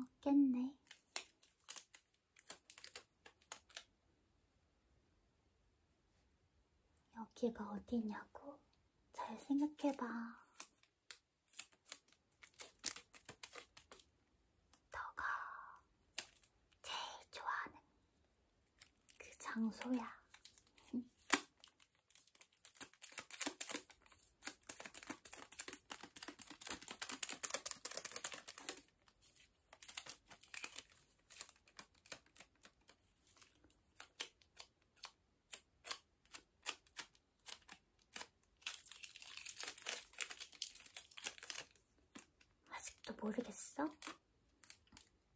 없겠네. 여기가 어디냐고? 잘 생각해봐. 너가 제일 좋아하는 그 장소야. 아직도 모르겠어?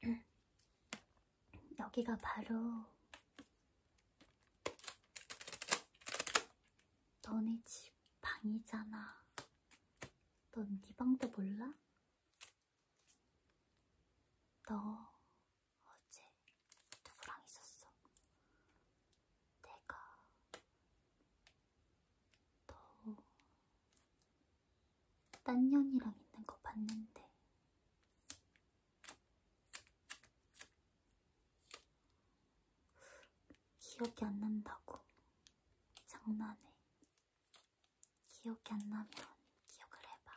여기가 바로 너네 집 방이잖아. 넌 네 방도 몰라? 너 어제 누구랑 있었어? 내가 너 딴 년이랑 있는 거 봤는데 기억이 안 난다고 장난해. 기억이 안 나면 기억을 해봐.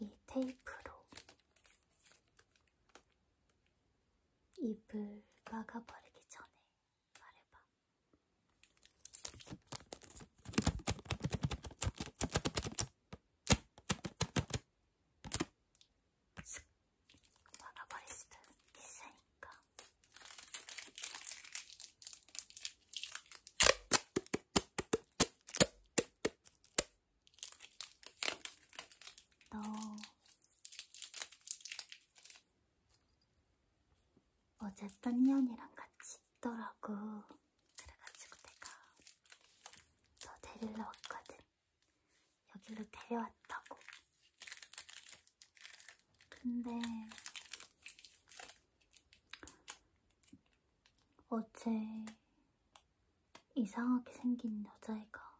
이 테이프로 입을 막아버리기 전에 말해봐. 먹어버릴 수도 있으니까. 너 어제 딴년이랑 같이 있더라고. 그래가지고 내가 너 데리러 왔거든. 여기로 데려왔다고. 근데 어제 이상하게 생긴 여자애가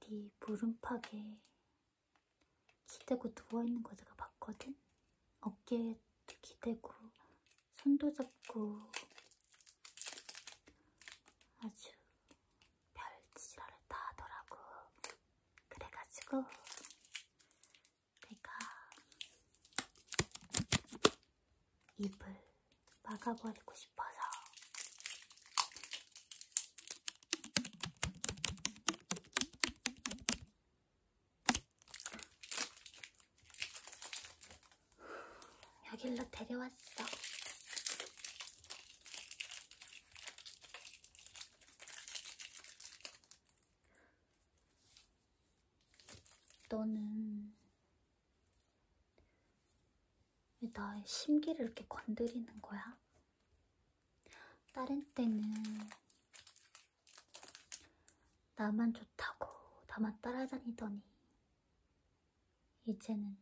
네 물음팍에 기대고 누워있는 거 내가 봤거든? 어깨에 기대고 손도 잡고 아주 별지랄을 다 하더라고. 그래가지고 내가 입을 막아버리고 싶어서 여길로 데려왔어. 너는 왜 나의 심기를 이렇게 건드리는 거야? 다른 때는 나만 좋다고 나만 따라다니더니 이제는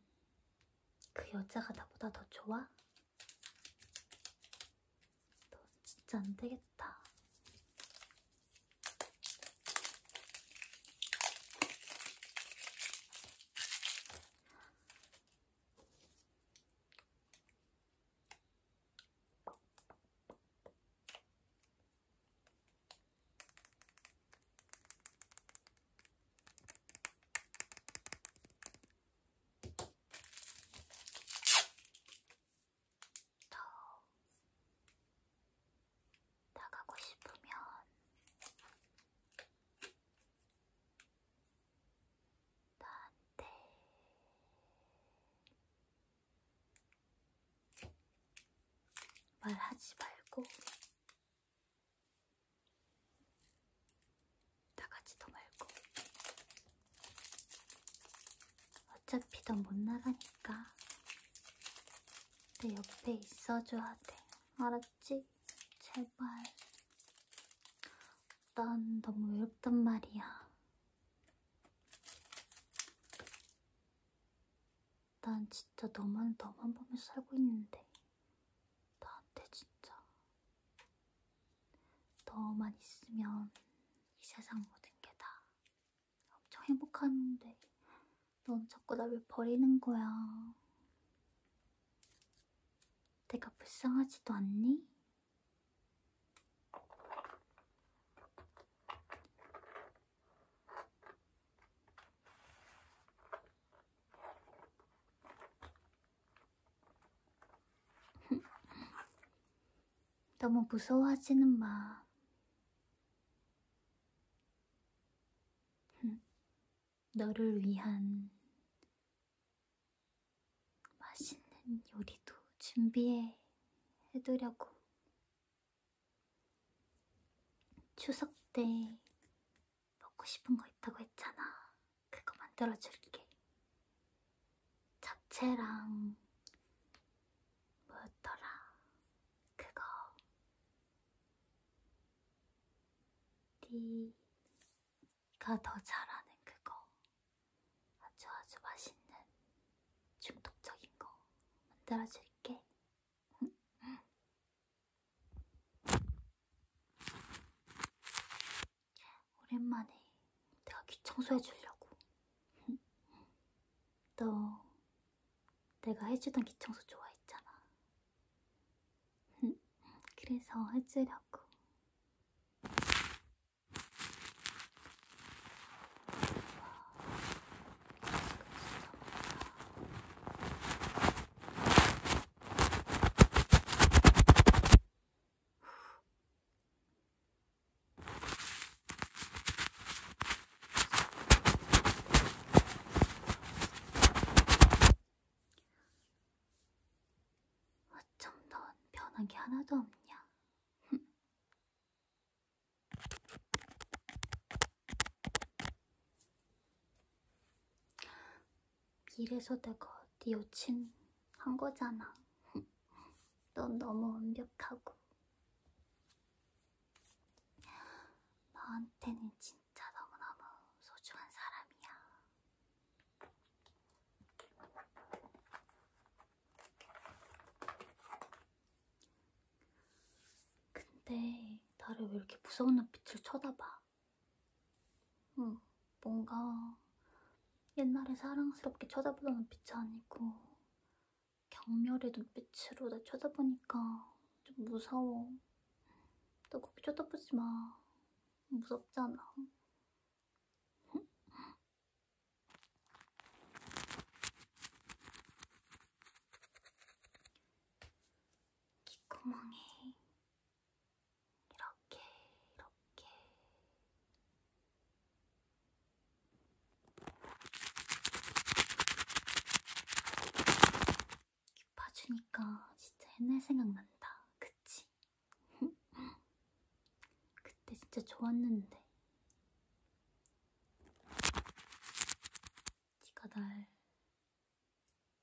그 여자가 나보다 더 좋아? 너 진짜 안 되겠다. 더 나가고 싶으면 나한테 말하지 말고 나가지도 말고 어차피 넌 못 나가니까 내 옆에 있어줘야 돼 알았지? 제발 난 너무 외롭단 말이야 난 진짜 너만 너만 보며 살고 있는데 나한테 진짜 너만 있으면 이 세상 모든 게 다 엄청 행복한데 넌 자꾸 나왜 버리는 거야 내가 불쌍하지도 않니? 너무 무서워하지는 마. 너를 위한 맛있는 요리도 준비해 해두려고 추석 때 먹고 싶은 거 있다고 했잖아 그거 만들어줄게 잡채랑 뭐였더라 그거 네가 더 잘하는 그거 아주 아주 맛있는 중독적인 거 만들어줄게. 오랜만에 내가 귀 청소해주려고. 너 내가 해주던 귀 청소 좋아했잖아. 그래서 해주려고. 어쩜 넌 변한 게 하나도 없냐? 이래서 내가 네 여친 한 거잖아. 넌 너무 완벽하고. 너한테는 진짜 너무너무 소중한 사람이야. 근데 나를 왜 이렇게 무서운 눈빛을 쳐다봐? 응, 어, 뭔가 옛날에 사랑스럽게 쳐다보던 눈빛이 아니고 경멸의 눈빛으로 날 쳐다보니까 좀 무서워. 너 거기 쳐다보지 마. 무섭잖아. 귓구멍에 이렇게 이렇게 귀 파주니까 진짜 옛날 생각난다. 그치? 그때 진짜 좋았는데. 네가 날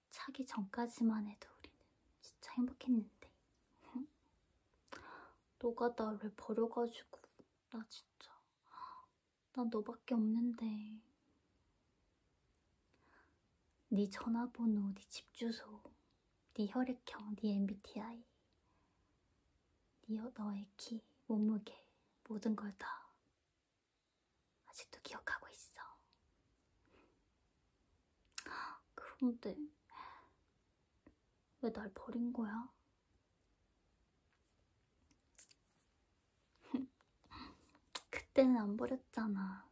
차기 전까지만 해도 우리는 진짜 행복했는데. 너가 나를 버려가지고 나 진짜 나 너밖에 없는데. 네 전화번호, 네 집 주소 네 혈액형, 네 MBTI, 네 너의 키, 몸무게, 모든 걸 다 아직도 기억하고 있어. 그런데 왜 날 버린 거야? 그때는 안 버렸잖아.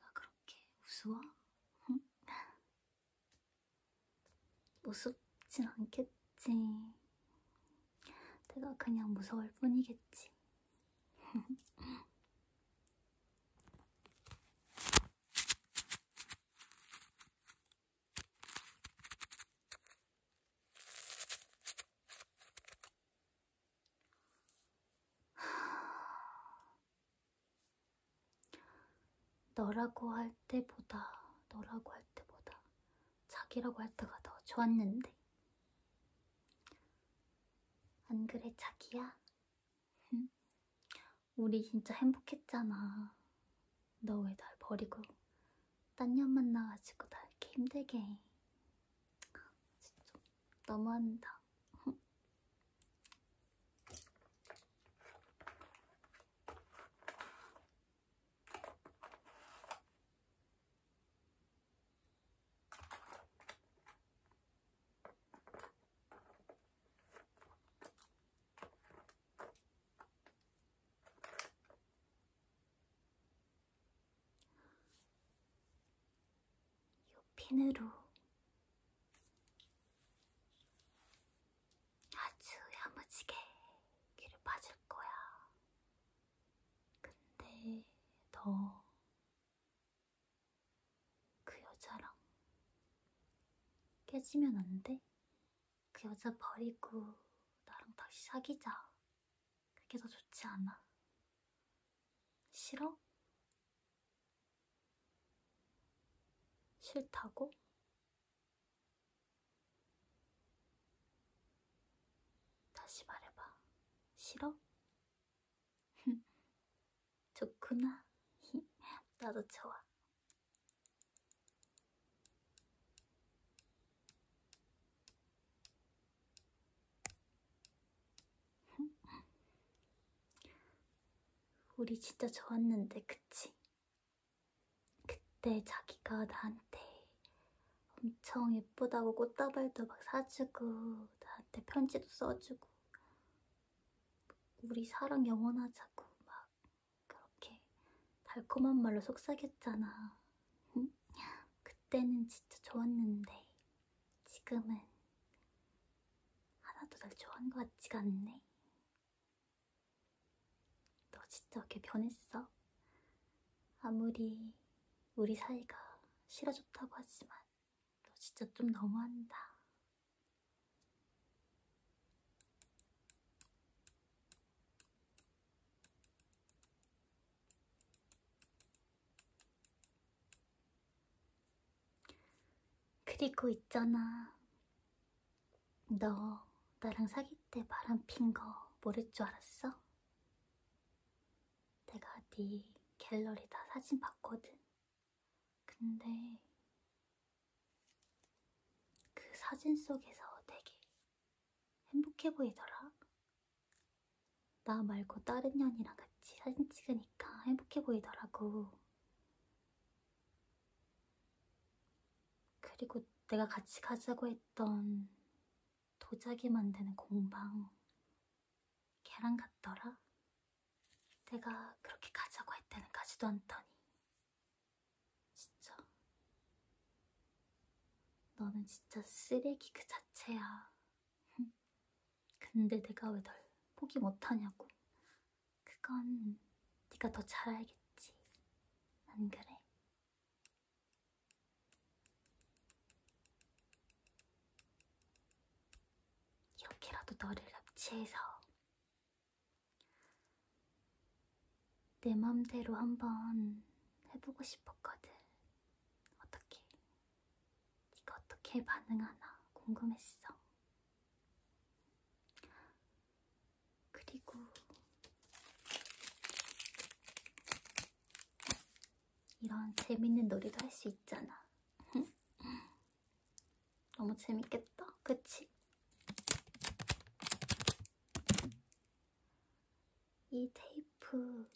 내가 그렇게 우스워? 무섭진 않겠지. 내가 그냥 무서울 뿐이겠지. 너라고 할 때보다 너라고 할 때보다 자기라고 할 때가 더 좋았는데 안 그래 자기야? 우리 진짜 행복했잖아 너 왜 날 버리고 딴 년 만나가지고 나 이렇게 힘들게 진짜 너무한다. 이 핀으로 아주 야무지게 귀를 빠줄 거야. 근데 너 그 여자랑 깨지면 안 돼? 그 여자 버리고 나랑 다시 사귀자. 그게 더 좋지 않아? 싫어? 싫다고? 다시 말해봐. 싫어? 좋구나. 나도 좋아. 우리 진짜 좋았는데, 그치? 그때 자기가 나한테 엄청 예쁘다고 꽃다발도 막 사주고, 나한테 편지도 써주고, 우리 사랑 영원하자고 막 그렇게 달콤한 말로 속삭였잖아. 그때는 진짜 좋았는데, 지금은 하나도 날 좋아하는 것 같지가 않네. 너 진짜 왜 변했어? 아무리 우리 사이가 싫어졌다고 하지만 너 진짜 좀 너무한다. 그리고 있잖아. 너 나랑 사귈 때 바람 핀 거 모를 줄 알았어? 내가 네 갤러리 다 사진 봤거든. 근데 그 사진 속에서 되게 행복해 보이더라. 나 말고 다른 년이랑 같이 사진 찍으니까 행복해 보이더라고. 그리고 내가 같이 가자고 했던 도자기 만드는 공방 걔랑 같더라? 내가 그렇게 가자고 할 때는 가지도 않더니 진짜 너는 진짜 쓰레기 그 자체야 근데 내가 왜 널 포기 못하냐고. 그건 네가 더 잘 알겠지. 안 그래? 이렇게라도 너를 납치해서 내 맘대로 한번 해보고 싶었거든. 어떻게 네가 어떻게 반응하나 궁금했어. 그리고 이런 재밌는 놀이도 할 수 있잖아. 너무 재밌겠다, 그치? 이 테이프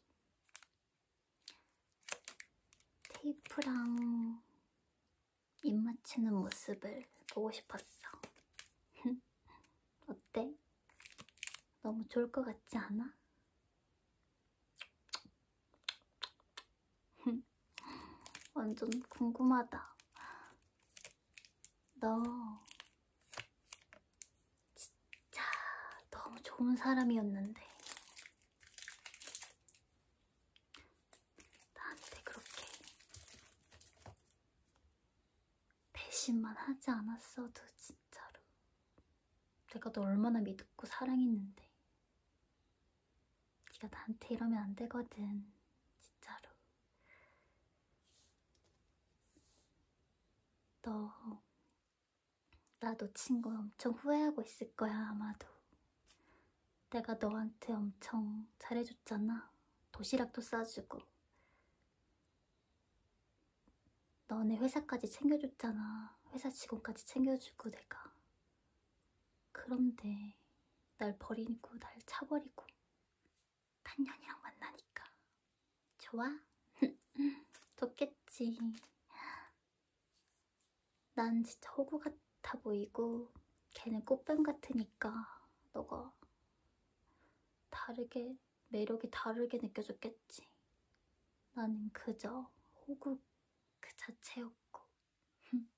테이프랑 입 맞추는 모습을 보고 싶었어. 어때? 너무 좋을 것 같지 않아? 완전 궁금하다. 너 진짜 너무 좋은 사람이었는데 나한테 그렇게 배신만 하지 않았어도 진짜로 내가 너 얼마나 믿고 사랑했는데 네가 나한테 이러면 안 되거든 진짜로 너나 놓친 거 엄청 후회하고 있을 거야, 아마도. 내가 너한테 엄청 잘해줬잖아. 도시락도 싸주고. 너네 회사까지 챙겨줬잖아. 회사 직원까지 챙겨주고 내가. 그런데 날 버리고 날 차버리고 단년이랑 만나니까 좋아? 좋겠지. 난 진짜 호구 같아 보이고 걔는 꽃뱀 같으니까 너가 다르게 매력이 다르게 느껴졌겠지 나는 그저 호구 그 자체였고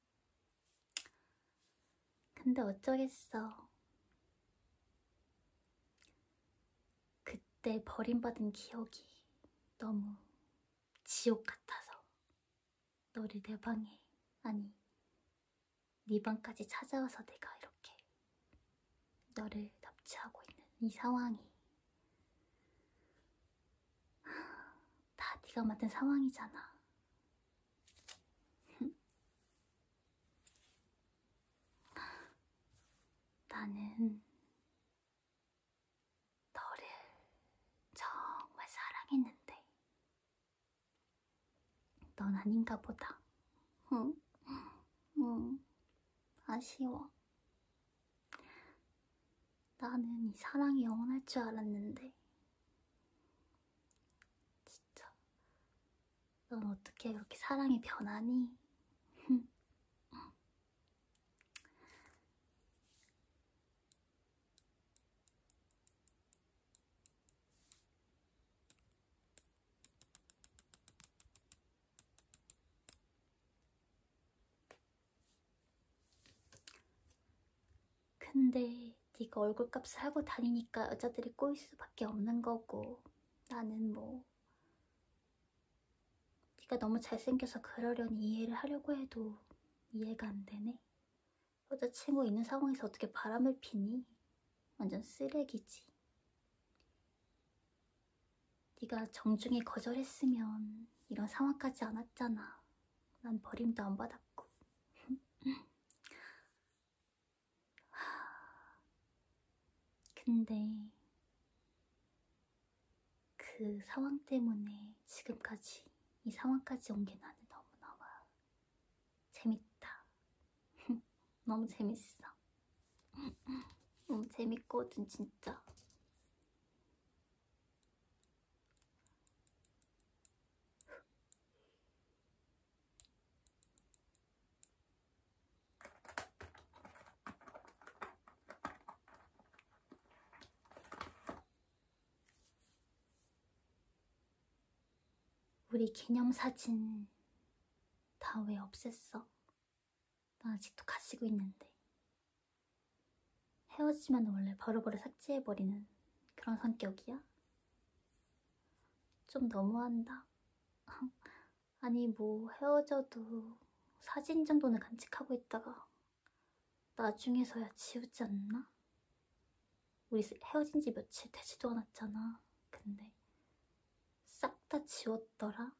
근데 어쩌겠어 그때 버림받은 기억이 너무 지옥 같아서 너를 내 방에 아니 네 방까지 찾아와서 내가 이렇게 너를 납치하고 있는 이 상황이 다 네가 만든 상황이잖아 나는 너를 정말 사랑했는데 넌 아닌가 보다. 응, 응, 아쉬워. 나는 이 사랑이 영원할 줄 알았는데 진짜 넌 어떻게 그렇게 사랑이 변하니? 근데 네가 얼굴값 사고 다니니까 여자들이 꼬일 수밖에 없는 거고 나는 뭐 네가 너무 잘생겨서 그러려니 이해를 하려고 해도 이해가 안 되네. 여자친구 있는 상황에서 어떻게 바람을 피니? 완전 쓰레기지. 네가 정중히 거절했으면 이런 상황까지 안 왔잖아. 난 버림도 안 받았고. 근데 그 상황 때문에 지금까지 이 상황까지 온 게 나는 너무너무 재밌다. 너무 재밌어. 너무 재밌거든 진짜. 우리 기념사진 다 왜 없앴어? 나 아직도 가지고 있는데. 헤어지면 원래 바로바로 삭제해버리는 그런 성격이야? 좀 너무한다. 아니 뭐 헤어져도 사진 정도는 간직하고 있다가 나중에서야 지우지 않나? 우리 헤어진 지 며칠 되지도 않았잖아. 근데 싹 다 지웠더라?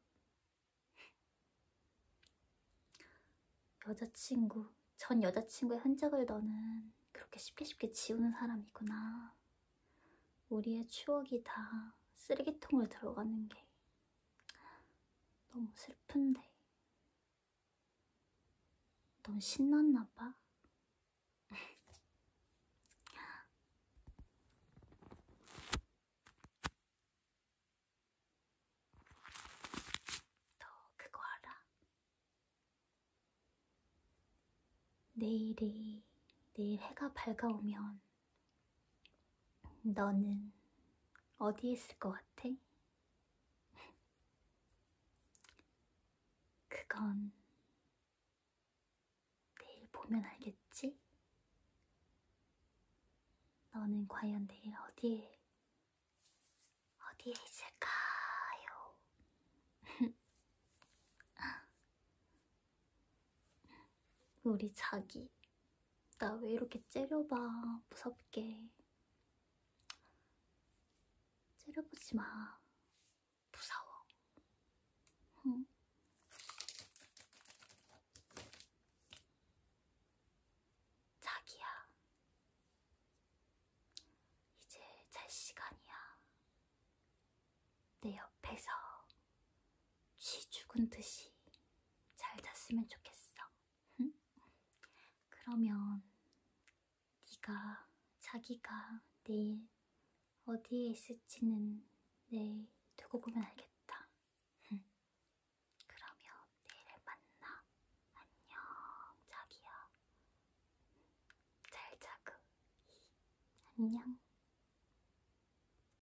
여자친구, 전 여자친구의 흔적을 너는 그렇게 쉽게 쉽게 지우는 사람이구나. 우리의 추억이 다 쓰레기통으로 들어가는 게 너무 슬픈데. 넌 신났나 봐. 너 그거 알아? 내일이 내일 해가 밝아오면 너는 어디에 있을 것 같아? 그건 내일 보면 알겠지? 너는 과연 내일 어디에, 어디에 있을까요? 우리 자기 나 왜 이렇게 째려봐 무섭게 째려보지 마 무서워 응? 자기야 이제 잘 시간이야 내 옆에서 쥐 죽은 듯이 잘 잤으면 좋겠어. 응? 그러면 네가 자기가 내일 어디에 있을지는 내일 두고 보면 알겠다. 응. 그러면 내일 만나. 안녕, 자기야. 잘 자고. 안녕.